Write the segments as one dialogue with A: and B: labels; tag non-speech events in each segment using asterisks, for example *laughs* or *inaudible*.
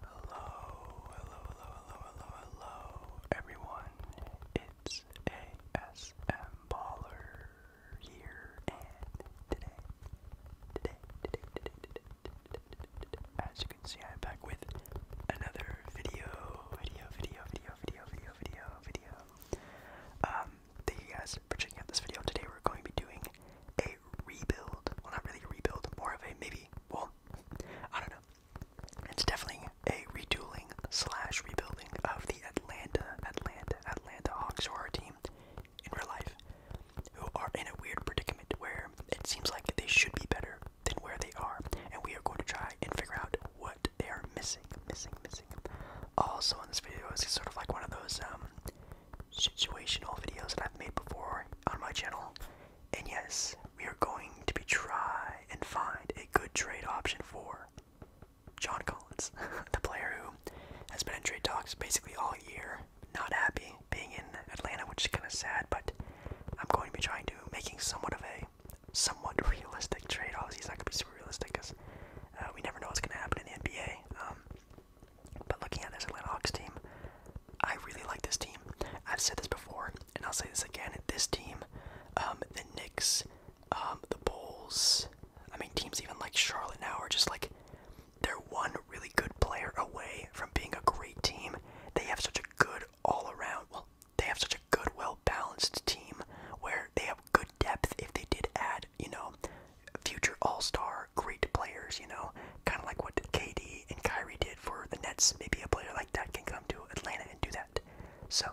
A: Hello, hello, hello, hello, hello, hello, everyone. It's ASM Baller here, and today, today, today, today, today, today, today, as you can see, I'm back with another video, video, video, video, video, video, video, video. Um, thank you guys for checking out this video. Today, we're going to be doing a rebuild. Well, not really rebuild, more of a maybe. Well, I don't know. It's definitely a retooling slash rebuilding of the Atlanta, Atlanta, Atlanta Hawks, or our team in real life, who are in a weird predicament where it seems like they should be better than where they are, and we are going to try and figure out what they are missing, missing, missing. Also, in this video is sort of like one of those um situational videos that I've made before on my channel. And yes, we are going to be try and find a good trade option for John Collins, *laughs* the player who has been in trade talks basically all year. Not happy being in Atlanta, which is kind of sad, but I'm going to be trying to making somewhat of a somewhat realistic trade. Obviously, it's not going to be super realistic because uh, we never know what's going to happen in the NBA. Um, but looking at this Atlanta Hawks team, I really like this team. I've said this before, and I'll say this again. This team, um, the Knicks, um, the Bulls, I mean, teams even like Charlotte now are just like they're one really good player away from being a great team. They have such a good all around, well, they have such a good, well balanced team where they have good depth if they did add, you know, future all star great players, you know, kind of like what KD and Kyrie did for the Nets. Maybe a player like that can come to Atlanta and do that. So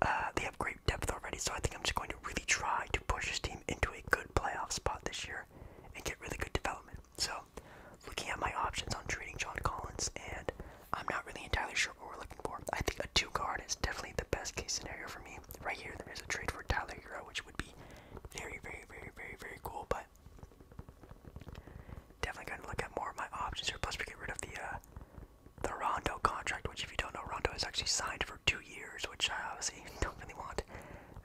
A: uh, they have great depth already. So I think I'm just going to really try to push this team into a good playoff spot this year and get really good development. So looking at my options on trading John Collins, and I'm not really entirely sure what we're looking for. I think a two guard is definitely the best case scenario for me. Right here, there is a trade for Tyler Hero, which would be very, very, very, very, very cool. But definitely going to look at more of my options here. Plus, we get rid of the uh, the Rondo contract, which, if you don't know, Rondo is actually signed for two years, which I obviously *laughs* don't really want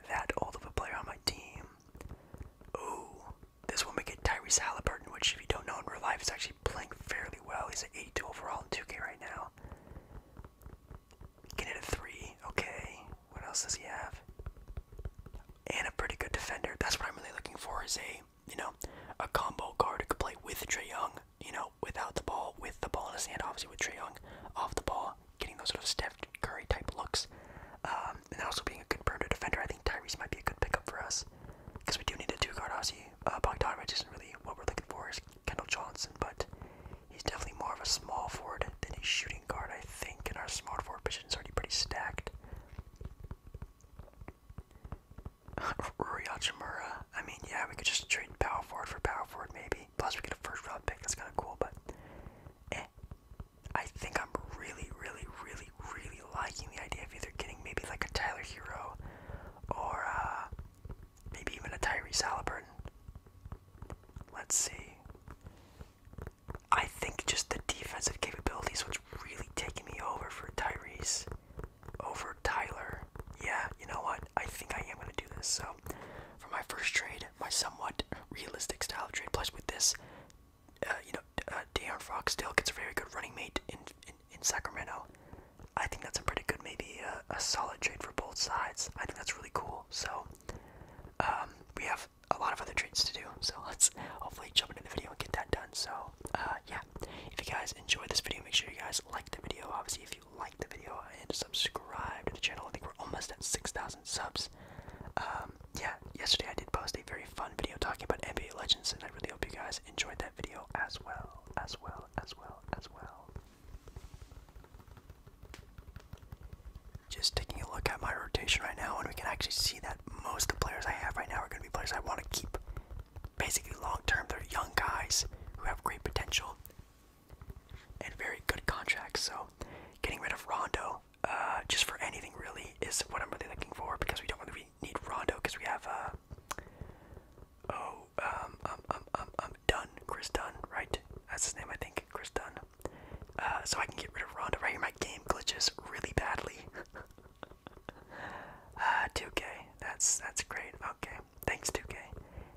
A: that old of a player on my team. Ooh, this one make it Tyrese Halliburton, which, if you don't know in real life, he's actually playing fairly well. He's at 82 overall in 2K right now. Can hit a three. Okay. What else does he have? And a pretty good defender. That's what I'm really looking for is a you know, a combo guard who could play with Trey Young, you know, without the ball, with the ball in his hand, obviously with Trey Young, off the ball, getting those sort of Steph Curry type looks. Um, and also being a good perimeter defender, I think Tyrese might be a good pickup for us. Because we do need a two guard, obviously. Uh, Bogdanovich isn't really what we're looking for, is Kendall Johnson, but He's definitely more of a small forward than a shooting guard, I think, and our small forward position is already pretty stacked. *laughs* Rui Hachimura, I mean, yeah, we could just trade power forward for power forward, maybe. Plus, we get a first round pick, that's kind of cool, but eh. I think I'm really, really, really, really liking the idea of either getting maybe like a Tyler Hero or uh, Maybe even a Tyrese Halliburton. Let's see. I think just the defensive capabilities was really taking me over for Tyrese over Tyler. Yeah, you know what? I think I am going to do this. So, for my first trade, my somewhat realistic style of trade, plus with this, uh, you know, uh, Fox still gets a very good running mate in, in, in Sacramento. I think that's a pretty good, maybe uh, a solid trade for both sides. I think that's really cool. So um, we have a lot of other treats to do. So *laughs* let's hopefully jump into the video and get that done. So uh, yeah, if you guys enjoyed this video, make sure you guys like the video. Obviously, if you like the video and subscribe to the channel, I think we're almost at 6,000 subs. Um, yeah, yesterday I did post a very fun video talking about NBA Legends, and I really hope you guys enjoyed that video as well, as well, as well, as well. Just taking a look at my rotation right now, and we can actually see that most of the players I have right now are going to be players I want to keep. Basically, long term, they're young guys who have great potential and very good contracts. So, getting rid of Rondo uh, just for anything really is what I'm really looking for because we don't really need Rondo because we have uh, Oh, um, um, um, um, um, Dunn, Chris Dunn, right? That's his name, I think, Chris Dunn. Uh, so I can get rid of Ronda. Right here, my game glitches really badly. *laughs* uh, 2K, that's that's great. Okay, thanks 2K.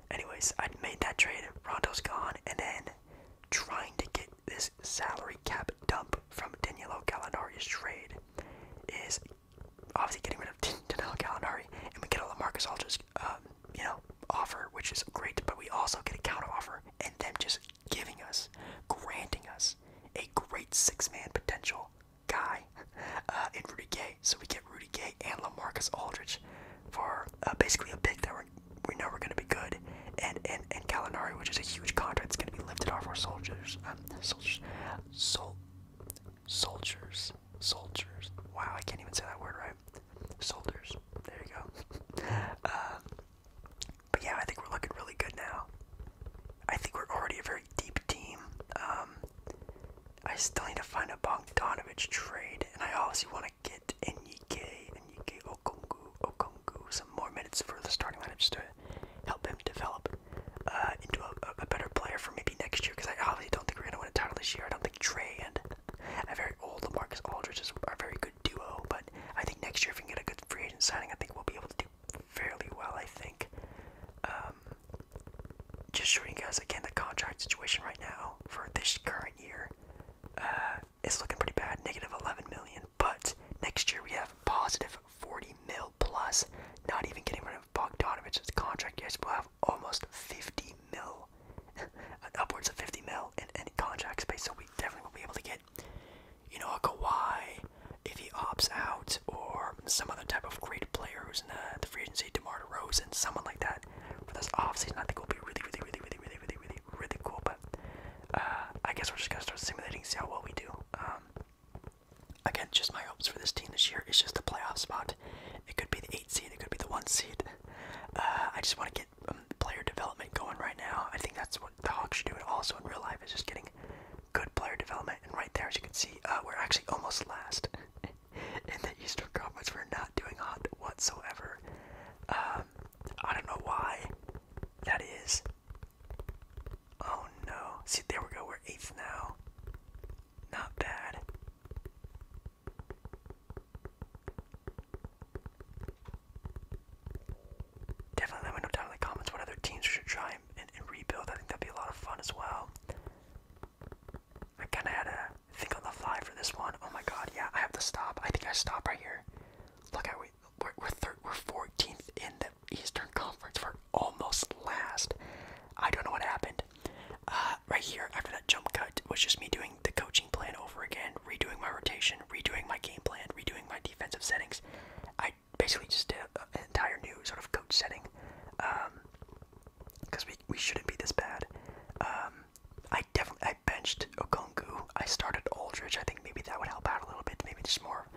A: Anyways, I made that trade. Rondo's gone, and then trying to get this salary cap dump from Danilo Gallinari's trade is obviously getting rid of *laughs* Danilo Gallinari, and we get a Lamarcus Aldridge, um, you know, offer, which is great, but we also get a counter offer and them just giving us, granting us a great six man potential guy *laughs* uh, in Rudy Gay. So we get Rudy Gay and Lamarcus Aldridge for uh, basically a pick that we're, we know we're going to be good, and, and, and Gallinari, which is a huge contract that's going to be lifted off our soldiers. Um, soldiers. Sol soldiers. Soldiers. Wow, I can't even say that word right. Soldiers. There you go. *laughs* Uh, but yeah, I think we're looking really good now. I think we're already a very deep team. Um, I still need to find a Bogdanovich trade, and I obviously want to get Enike, Enike Okongu, Okongu, some more minutes for the starting lineup just to help him develop uh, into a, better player for maybe next year, because I obviously don't think we're going to win a title this year think and, a very old Lamarcus Aldridge is a very good duo. But I think next year, if we can get a good free agent signing, I think we'll be able to do fairly well. I think. Um, just showing you guys again the contract situation right now for this current year. Uh, it's looking pretty bad, negative 11 million. But next year we have positive 40 mil plus. Not even getting rid of of Bogdanovich's contract, you guys will have almost 50 mil, *laughs* upwards of 50 mil in any contract space. So we definitely will be able to get, you know, Kawhi if he opts out, or some other type of great player who's in the, the free agency, DeMar DeRozan, someone like that for this offseason. I think will be really, really, really, really, really, really, really, really cool. But uh, I guess we're just gonna start simulating, see how well we do. Um, again, just my hopes for this team this year is just the playoff spot it could be the eight seed, it could be the one seed. Uh, I just want to get um, player development going right now. I think that's what the Hawks should do, and also in real life is just getting good player development. And right there, as you can see, uh, we're actually almost last *laughs* in the Eastern Conference. We're not doing hot whatsoever. Um, I don't know why that is. Oh no! See, there we go. We're eighth now. Not bad. Definitely let me know down in the comments what other teams should try and, rebuild. I think that'd be a lot of fun as well. I kind of had to think on the fly for this one. Oh my god, yeah, I have to stop. I think I stop right here. Look, I, we're, we're, we we're 14th in the Eastern Conference. for almost last. I don't know what happened. Uh, right here, after that jump cut, was just me doing the coaching plan over again, redoing my rotation, redoing my game plan, redoing my defensive settings. I basically just did an entire new sort of coach setting, because um, we, we shouldn't be this bad. Um, I definitely I benched Okongu. I started Aldridge. I think maybe that would help out a little bit. Maybe just more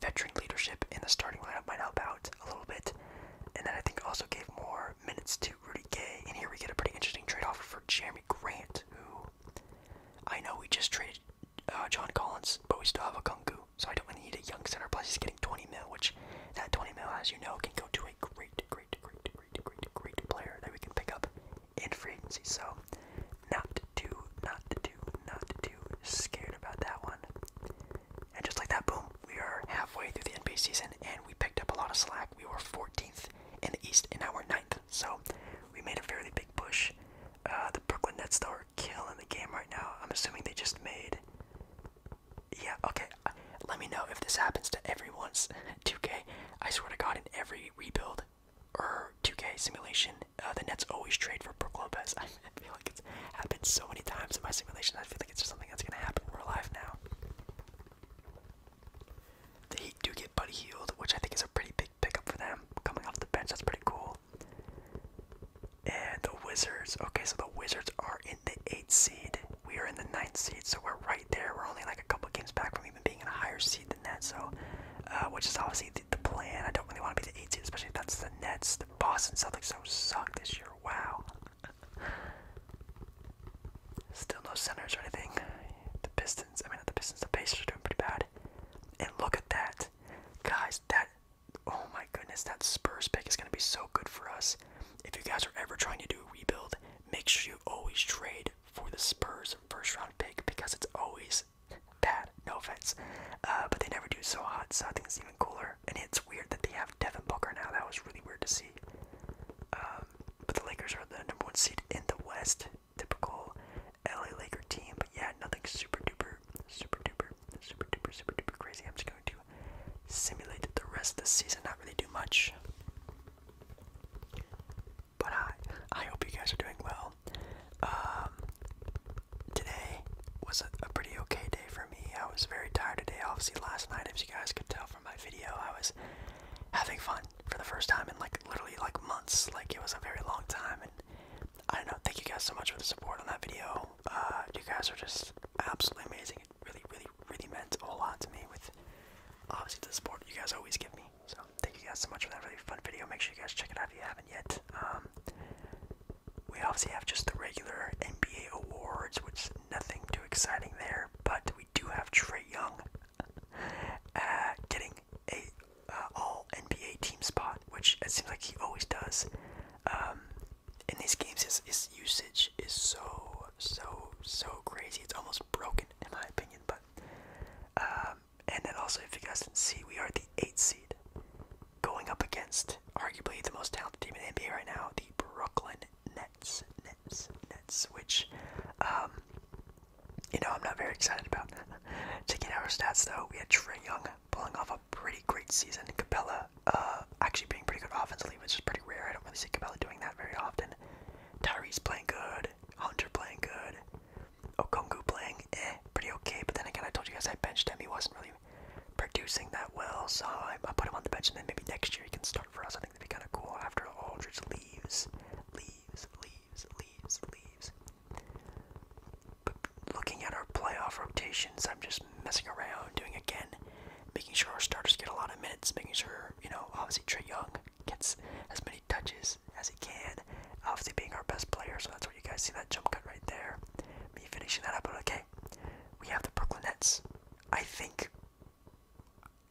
A: veteran leadership in the starting lineup might help out a little bit. And then I think also gave more minutes to Rudy Gay. And here we get a pretty interesting trade offer for Jeremy Grant, who I know we just traded uh, John Collins, but we still have a Kungu. So I don't really need a young center. Plus he's getting 20 mil, which that 20 mil, as you know, can go to a great, great, great, great, great, great player that we can pick up in free agency. So not too, not too, not too scared about that one. And just like that, boom, we are halfway through the NBA season and we picked up a lot of slack. We were 14th in the East and now we're 9th. So we made a fairly big push. Uh, the Brooklyn Nets, though, are killing the game right now. I'm assuming they just made. Yeah, okay. Uh, let me know if this happens to everyone's 2K. *laughs* I swear to God, in every rebuild or 2K simulation, uh, the Nets always trade for Brook Lopez. I feel like it's happened so many times in my simulation. I feel like it's just something that's gonna happen in real life now. The Heat do get Buddy Healed, which I think is a pretty big pickup for them coming off the bench. That's pretty cool. And the Wizards. Okay, so the Wizards are in the eighth seed. We are in the ninth seed, so we're right there. We're only like a couple games back from even being in a higher seed than that. So, uh, which is obviously the, plan. I don't really want to be the eighth seed, especially if that's the Nets. The Boston Celtics so suck this year. Wow. Still no centers or anything. The Pistons, I mean, the Pistons, the Pacers are doing pretty bad. And look at that. Guys, that, oh my goodness, that Spurs pick is going to be so good for us. If you guys are ever trying to do a rebuild, make sure you always trade for the Spurs first round pick because it's always bad. No offense. Uh, but they never do so hot, so I think it's even cooler. And it's weird that they have Devin Booker now. That was really weird to see. Um, but the Lakers are the number one seed in the West. Typical LA Laker team. But yeah, nothing super duper, super duper, super duper, super duper crazy. I'm just going to simulate the rest of the season. Not really do much. But I, I hope you guys are doing well. Um, today was a, pretty okay day for me me. I was very tired today. Obviously, last night, as you guys could tell from my video, I was having fun for the first time in like literally like months. Like it was a very long time, and I don't know. Thank you guys so much for the support on that video. Uh, you guys are just absolutely amazing. It really, really, really meant a whole lot to me. With obviously the support you guys always give me. So thank you guys so much for that really fun video. Make sure you guys check it out if you haven't yet. Um, we obviously have just the regular NBA awards, which is nothing too exciting there, but we do have Trey Young uh, getting a uh, all NBA team spot, which it seems like he always does. Um, in these games, his, his usage is so, so, so crazy. It's almost broken, in my opinion. But um, And then also, if you guys can see, we are the eight seed going up against arguably the most talented team in the NBA right now, the Brooklyn Nets, Nets, Nets, which, um, you know, I'm not very excited about. *laughs* Taking our stats though, we had Trey Young pulling off a pretty great season, Capella uh, actually being pretty good offensively, which is pretty rare. I don't really see Capella doing that very often. Tyrese playing good, Hunter playing good, Okongu playing eh, pretty okay. But then again, I told you guys I benched him. He wasn't really producing that well, so I, I put him on the bench, and then maybe next year he can start for us. I think that'd be kind of cool after Aldridge leaves, leaves, leaves, leaves, leaves. But looking at our playoff rotations, I'm just messing around, doing again, making sure our starters get a lot of minutes, making sure you know, obviously Trey Young gets as many touches as he can, obviously being our best player. So that's where you guys see that jump cut right there me finishing that up. okay, we have the Brooklyn Nets. I think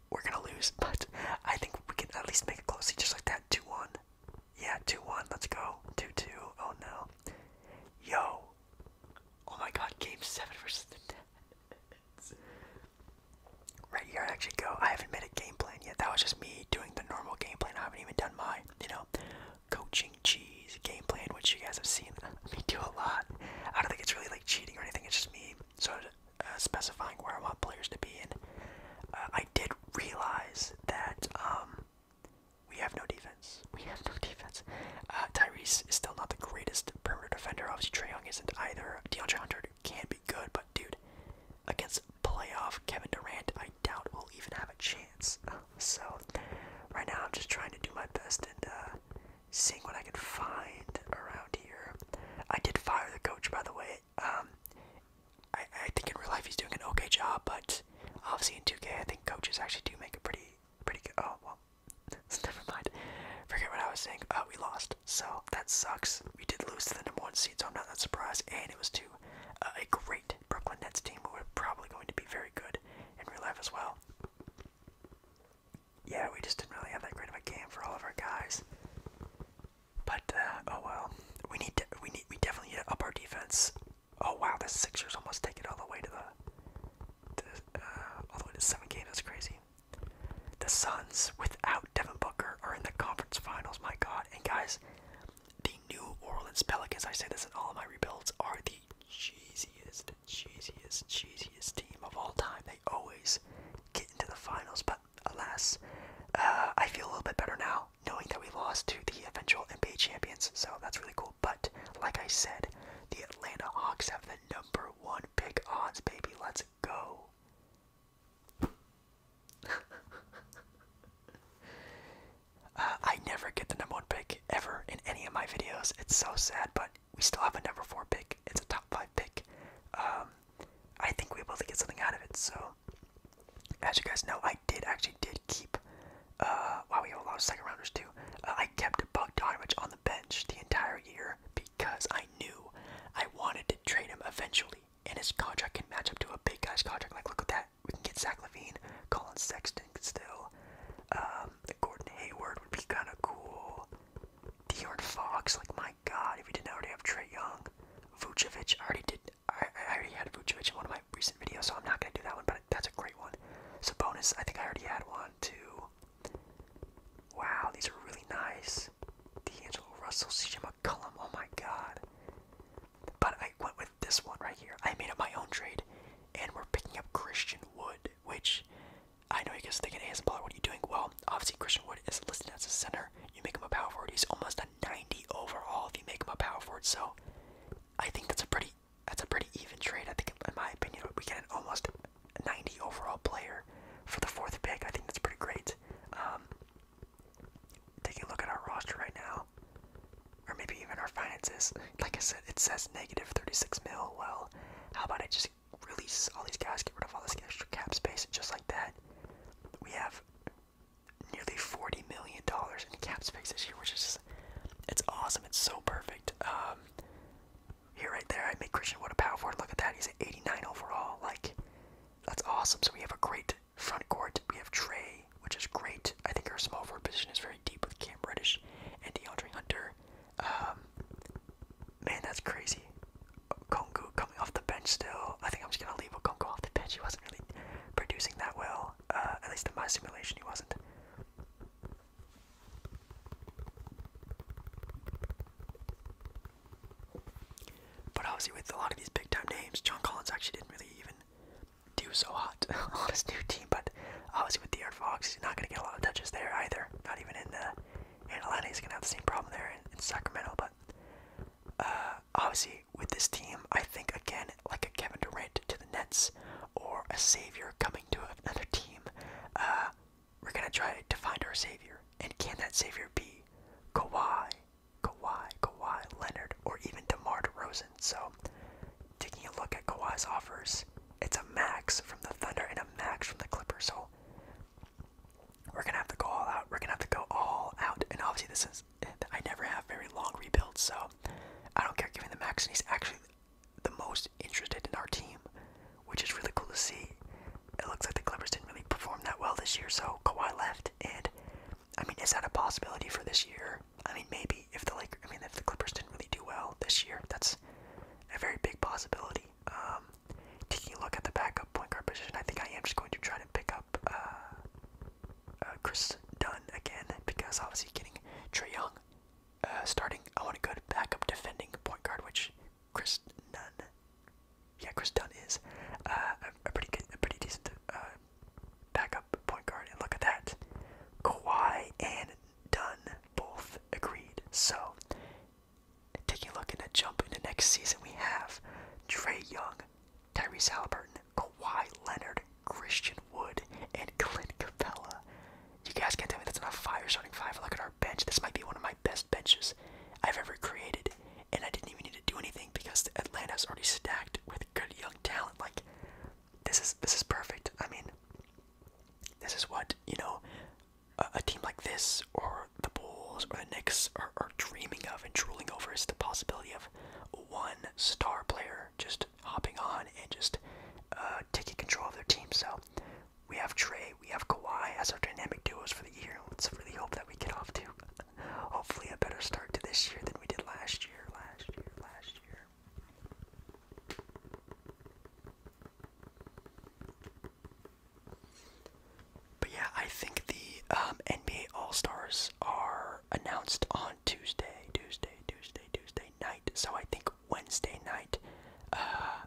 A: we're gonna lose, *laughs* but I think we can at least make it close, just like that, two one. Yeah, two one. Let's go. Two two. Oh no. Yo. Oh my God. Game seven for the Nets. Right here, I actually go. I haven't made a game plan yet. That was just me doing the normal game plan. I haven't even done my, you know, coaching cheese game plan, which you guys have seen me do a lot. I don't think it's really like cheating or anything. It's just me sort of uh, specifying where I want players to be. And uh, I did realize that um, we have no defense. We have no defense. Uh, Tyrese is still not the greatest perimeter defender. Obviously, Trey Young isn't either. DeAndre Hunter can be good, but dude, against playoff Kevin Durant, I doubt we'll even have a chance. So, right now I'm just trying to do my best and uh, seeing what I can find around here. I did fire the coach, by the way. Um, I, think in real life he's doing an okay job, but obviously in 2K, I think coaches actually do make a pretty, pretty good. Oh well, *laughs* never mind. Forget what I was saying. Uh, we lost, so that sucks. We did lose to the number one seed, so I'm not that surprised. And it was to uh, a great Brooklyn Nets team who are probably going to be very good in real life as well. Yeah, we just didn't really have that great of a game for all of our guys. But uh, oh well, we need to, we need we definitely need to up our defense. Oh wow, the Sixers almost take it all the way to the, uh, all the way to seven games. That's crazy. The Suns without Devin Booker are in the conference finals. My God, and guys, the New Orleans Pelicans, I say this in all my rebuilds, are the cheesiest, cheesiest, cheesiest team of all time. They always get into the finals, but alas, uh, I feel a little bit better now knowing that we lost to the eventual NBA champions, so that's really cool. But like I said, the Atlanta Hawks have the number one pick odds, baby. Let's go. *laughs* Uh, I never get the number one pick ever in any of my videos. It's so sad, but we still have a number four pick. It's a top five pick. Um, I think we are able to get something out of it. So, as you guys know, I did actually did keep. Uh, we have a lot of second rounders too. Uh, I kept Bogdanovich on the bench the entire year because I knew I wanted to trade him eventually, and his contract can match up to a big guy's contract. Like, look at that we can get Zach Levine, Colin Sexton still. Um, Gordon Hayward would be kind of cool. De'Aaron Fox, like my God, if we didn't already have Trey Young, Vucevic. I already did. I, already had Vucevic in one of my recent videos, so I'm not gonna do that one. But that's a great one. So bonus, I think I already had one too. Wow, these are really nice. D'Angelo Russell, CJ McCollum. Oh my God. But I, when this one right here. I made up my own trade, and we're picking up Christian Wood, which I know you guys thinking, hey, Isabella, what are you doing? Well, obviously Christian Wood is listed as a center. You make him a power forward. He's almost a 90 overall if you make him a power forward. So I think that's a pretty that's a pretty even trade. I think, in my opinion, we get an almost 90 overall player for the fourth pick. I think that's pretty great. Um, taking a look at our roster right now. Or maybe even our finances. Like I said, it says negative 36 mil. Well, how about I just release all these guys, get rid of all this extra cap space, just like that, we have nearly 40 million dollars in cap space this year, which is it's awesome. It's so perfect. Um, here, right there, I made Christian what a power forward. Look at that, he's at 89 overall. Like, that's awesome. So we have a great Front court, we have Trey, which is great. I think our small forward position is very deep with Cam Reddish and DeAndre Hunter. Um, man, that's crazy. Kongu coming off the bench still. I think I'm just gonna leave Okongu off the bench. He wasn't really producing that well. Uh, at least in my simulation, he wasn't. But obviously, with a lot of these big time names, John Collins actually didn't really even he so hot *laughs* on his new team, but obviously with the De'Aaron Fox, he's not going to get a lot of touches there either. Not even in the uh, in Atlanta, he's going to have the same problem there in, Sacramento. But uh, obviously with this team, I think again like a Kevin Durant to the Nets or a savior coming to another team, uh, we're going to try to find our savior. And can that savior be Kawhi Kawhi, Kawhi Leonard, or even DeMar DeRozan. So, taking a look at Kawhi's offers, it's a max from the Thunder and a max from the Clippers. So, we're gonna have to go all out. We're gonna have to go all out. And obviously, this is I never have very long rebuilds, so I don't care giving the max. And he's actually the most interested in our team, which is really cool to see. It looks like the Clippers didn't really perform that well this year, so Kawhi left, and I mean, is that a possibility for this year? I mean, maybe if the like, I mean, if the Clippers didn't really do well this year, that's a very big possibility. Um, taking a look at the backup point guard position, I think I am just going to try to pick up uh, uh, Chris Dunn again because obviously getting Trey Young uh, starting, I want a good backup defending point guard, which Chris Dunn yeah, Chris Dunn is uh, a, pretty good, a pretty decent uh, backup point guard. And look at that, Kawhi and Dunn both agreed. So, taking a look and a jump into next season, we have Trey Young, Tyrese Halliburton, Kawhi Leonard, Christian Wood, and Clint Capella. You guys can tell me that's enough fire starting five. Look at our bench. This might be one of my best benches I've ever created and I didn't even need to do anything because Atlanta's already stacked with good young talent. Like this is this is perfect. I mean, this is what you know a, team like this or the Bulls or the Knicks are, dreaming of and drooling over is the possibility of one star player just hopping on and just uh, taking control of their team. So we have Trey, we have Kawhi as our dynamic duos for the year. Let's really hope that we get off to Hopefully, a better start to this year than we did last year, last year, last year. But yeah, I think the um, NBA All Stars are announced on Tuesday, Tuesday, Tuesday, Tuesday night. So I think Wednesday night, uh,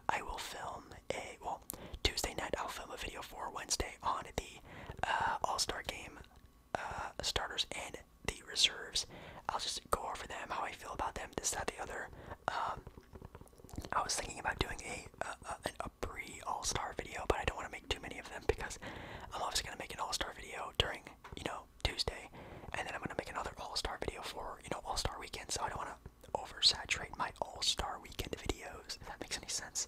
A: I will film a well. Tuesday night, I'll film a video for Wednesday on the uh, All Star Game uh, starters and the reserves. I'll just go over them, how I feel about them, this, that, the other. Um, I was thinking about doing a, a, a, a pre All Star video, but I don't want to make too many of them because I'm obviously going to make an All Star video during, you know, Tuesday, and then I'm going to make another All Star video for, you know, All Star weekend, so I don't want to oversaturate my all-star weekend videos, if that makes any sense.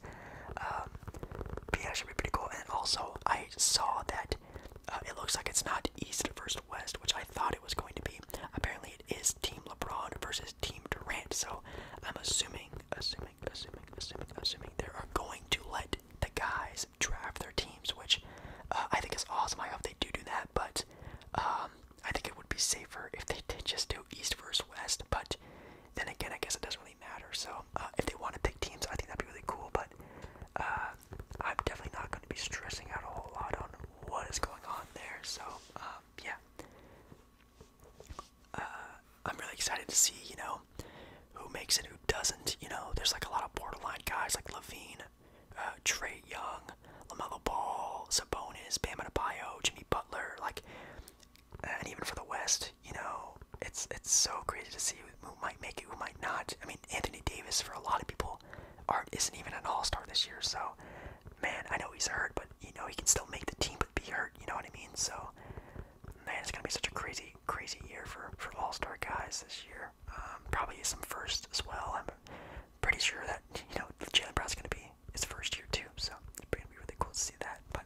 A: Um, but be pretty cool. And also, I saw that uh, it looks like it's not East versus West, which I thought it was going to be. Apparently, it is Team LeBron versus Team Durant. So I'm assuming, assuming, assuming, assuming, assuming they are going to let the guys draft their teams, which uh, I think is awesome. I hope they do do that, but um, I think it would be safer if they did just do East versus West. But then again, I guess it doesn't really matter. So uh, if they want to pick teams, I think that'd be really cool. But uh, I'm definitely not going to be stressing out a whole lot on what is going on there. So um, yeah, uh, I'm really excited to see you know who makes it, who doesn't. You know, there's like a lot of borderline guys like Levine, uh, Trey Young, Lamelo Ball, Sabonis, Bam Adebayo, Jimmy Butler, like and even for the West, you know, it's it's so crazy to see who might make it, who might not. I mean, Anthony Davis for a lot of people Art isn't even an All Star this year, so man, I know he's hurt, but you know he can still make the team, but be hurt. You know what I mean? So man, it's gonna be such a crazy, crazy year for for All Star guys this year. Um, probably some first as well. I'm pretty sure that you know Jalen Brown's gonna be it's first year too, so it's gonna be really cool to see that. But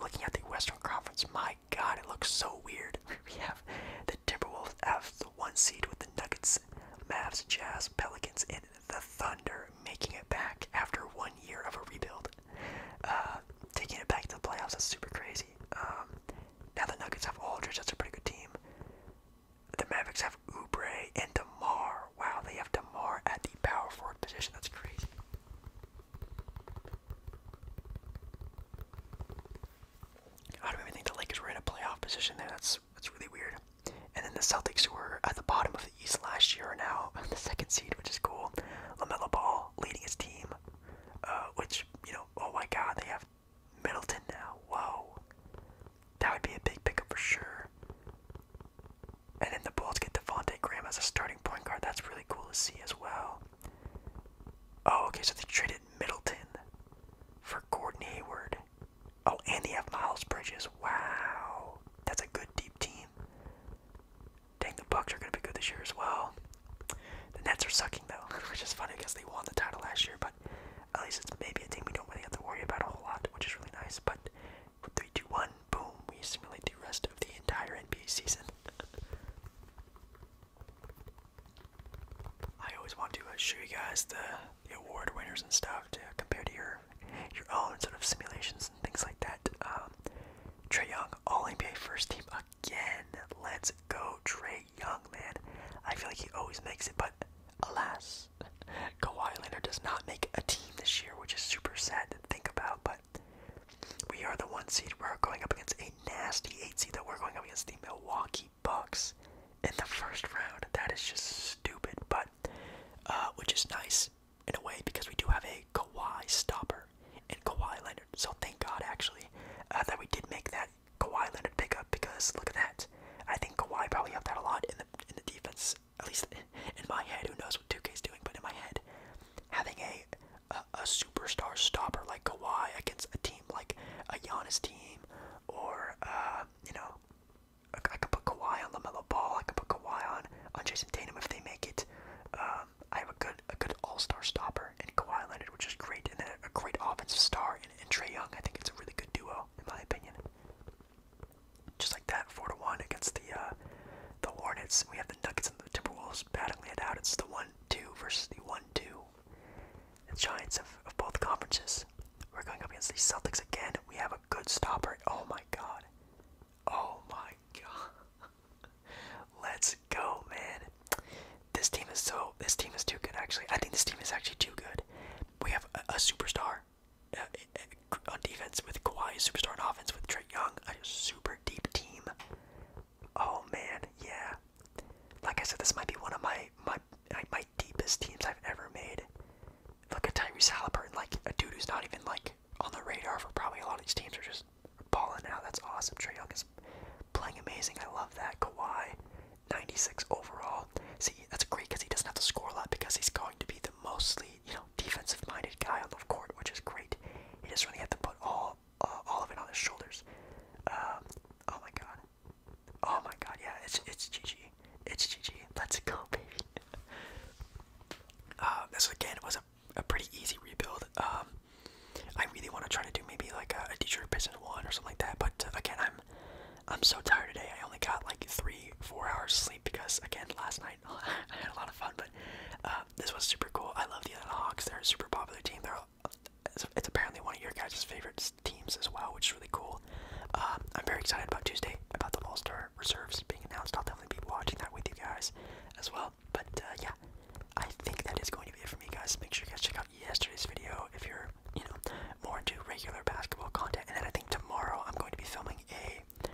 A: looking at the Western Conference, my God, it looks so weird. *laughs* we have the Timberwolves have the one seed with the Nuggets, Mavs, Jazz, Pelicans, and the Thunder making it back after one year of a rebuild. Uh, taking it back to the playoffs That's super crazy. Um, now the Nuggets have Aldridge, that's a pretty good team. The Mavericks have Oubre and DeMar. Wow, they have Demar at the power forward position. That's crazy. I don't even think the Lakers were in a playoff position there. That's that's really weird. And then the Celtics, who were at the bottom of the East last year, are now *laughs* the second seed, which is cool. Lamelo Ball leading his team, uh, which you know, oh my God, they have Middleton now. Whoa, that would be a big pickup for sure. And then the Bulls get Devontae Graham as a starting point guard. That's really cool to see as well. Oh, okay, so they traded Middleton for Gordon Hayward. Oh, and they have Miles Bridges. Wow. That's a good deep team. Dang, the Bucks are going to be good this year as well. The Nets are sucking, though, *laughs* which is funny because they won the title last year, but at least it's maybe a team we don't really have to worry about a whole lot, which is really nice. But Three, two, one, boom. We simulate the rest of the entire NBA season. *laughs* I always want to uh, show you guys the, the award winners and stuff to compare to your your own sort of simulations and things like that. Um, Trey Young, All NBA First Team again. Let's go, Trey Young, man. I feel like he always makes it, but alas, is. *laughs* Kawhi Leonard does not make a team this year, which is super sad to think about, but we are the one seed. We're going up against a nasty eight seed that we're going up against the Milwaukee Bucks in the first round. That is just stupid, but uh, which is nice in a way because we do have a Kawhi stopper in Kawhi Leonard. So thank God actually uh, that we did make that Kawhi Leonard pickup because look at that. I think Kawhi probably helped out a lot in the in the defense at least in my head, who knows what 2K is doing, but in my head, having a a, superstar stopper like Kawhi against a team like a Giannis team, or uh, you know, I, I could put Kawhi on Lamelo Ball, I could put Kawhi on on Jason Tatum if they make it. Um, I have a good a good All Star stopper in Kawhi Leonard, which is great, and then a great offensive star and in Trey Young. I think it's a really good duo in my opinion. Just like that, four to one against the uh, the Hornets. We have the Nuggets and the Timberwolves battling it out. It's the one two versus the one two. The Giants of, of both conferences. We're going up against the Celtics again. We have a good stopper. Oh my god. Oh my god. *laughs* Let's go, man. This team is so. This team is too good, actually. I think this team is actually too good. We have a superstar. Uh, on defense with Kawhi, superstar on offense with Trey Young, a super deep team. Oh man, yeah. Like I said, this might be one of my my my deepest teams I've ever made. Like a Tyrese Halliburton, like a dude who's not even like on the radar for probably a lot of these teams are just balling out. That's awesome. Trey Young is playing amazing. I love that. Kawhi, 96 overall. See, that's great because he doesn't have to score a lot because he's going to be the mostly you know defensive-minded guy on the court, which is great. He doesn't really have to put all uh, all of it on his shoulders. Um, oh my god. Oh my god. Yeah, it's it's GG. It's GG. Let's go, baby. um, *laughs* this again was a, a pretty easy rebuild. Um, I really want to try to do maybe like a, a Detroit Pistons one or something like that. But uh, again, I'm I'm so tired today. I only got like three, four hours sleep because again last night *laughs* I had a lot of fun. But uh, this was super cool. I love the Atlanta Hawks. They're a super popular team. They're uh, it's, apparently one of your guys' favorite teams as well, which is really cool. Um, I'm very excited about Tuesday about the All Star reserves being announced. I'll definitely be watching that with you guys as well. But uh, yeah, I think that is going to be it for me, guys. Make sure you guys check out yesterday's video if you're more, you know, more into regular basketball content. And then I think tomorrow I'm going to be filming a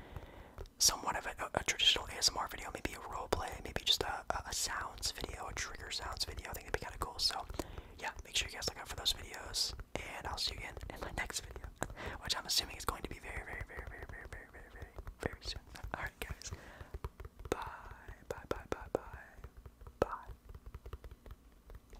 A: somewhat of a, a, a traditional ASMR video, maybe a role play, maybe just a, a, a sounds video, a trigger sounds video. I think that'd be kind of cool. So, yeah, make sure you guys look out for those videos, and I'll see you again in my next video, *laughs* which I'm assuming is going to be very, very, very, very, very, very, very, very, very soon. *laughs* All right, guys. Bye, bye, bye, bye, bye, bye.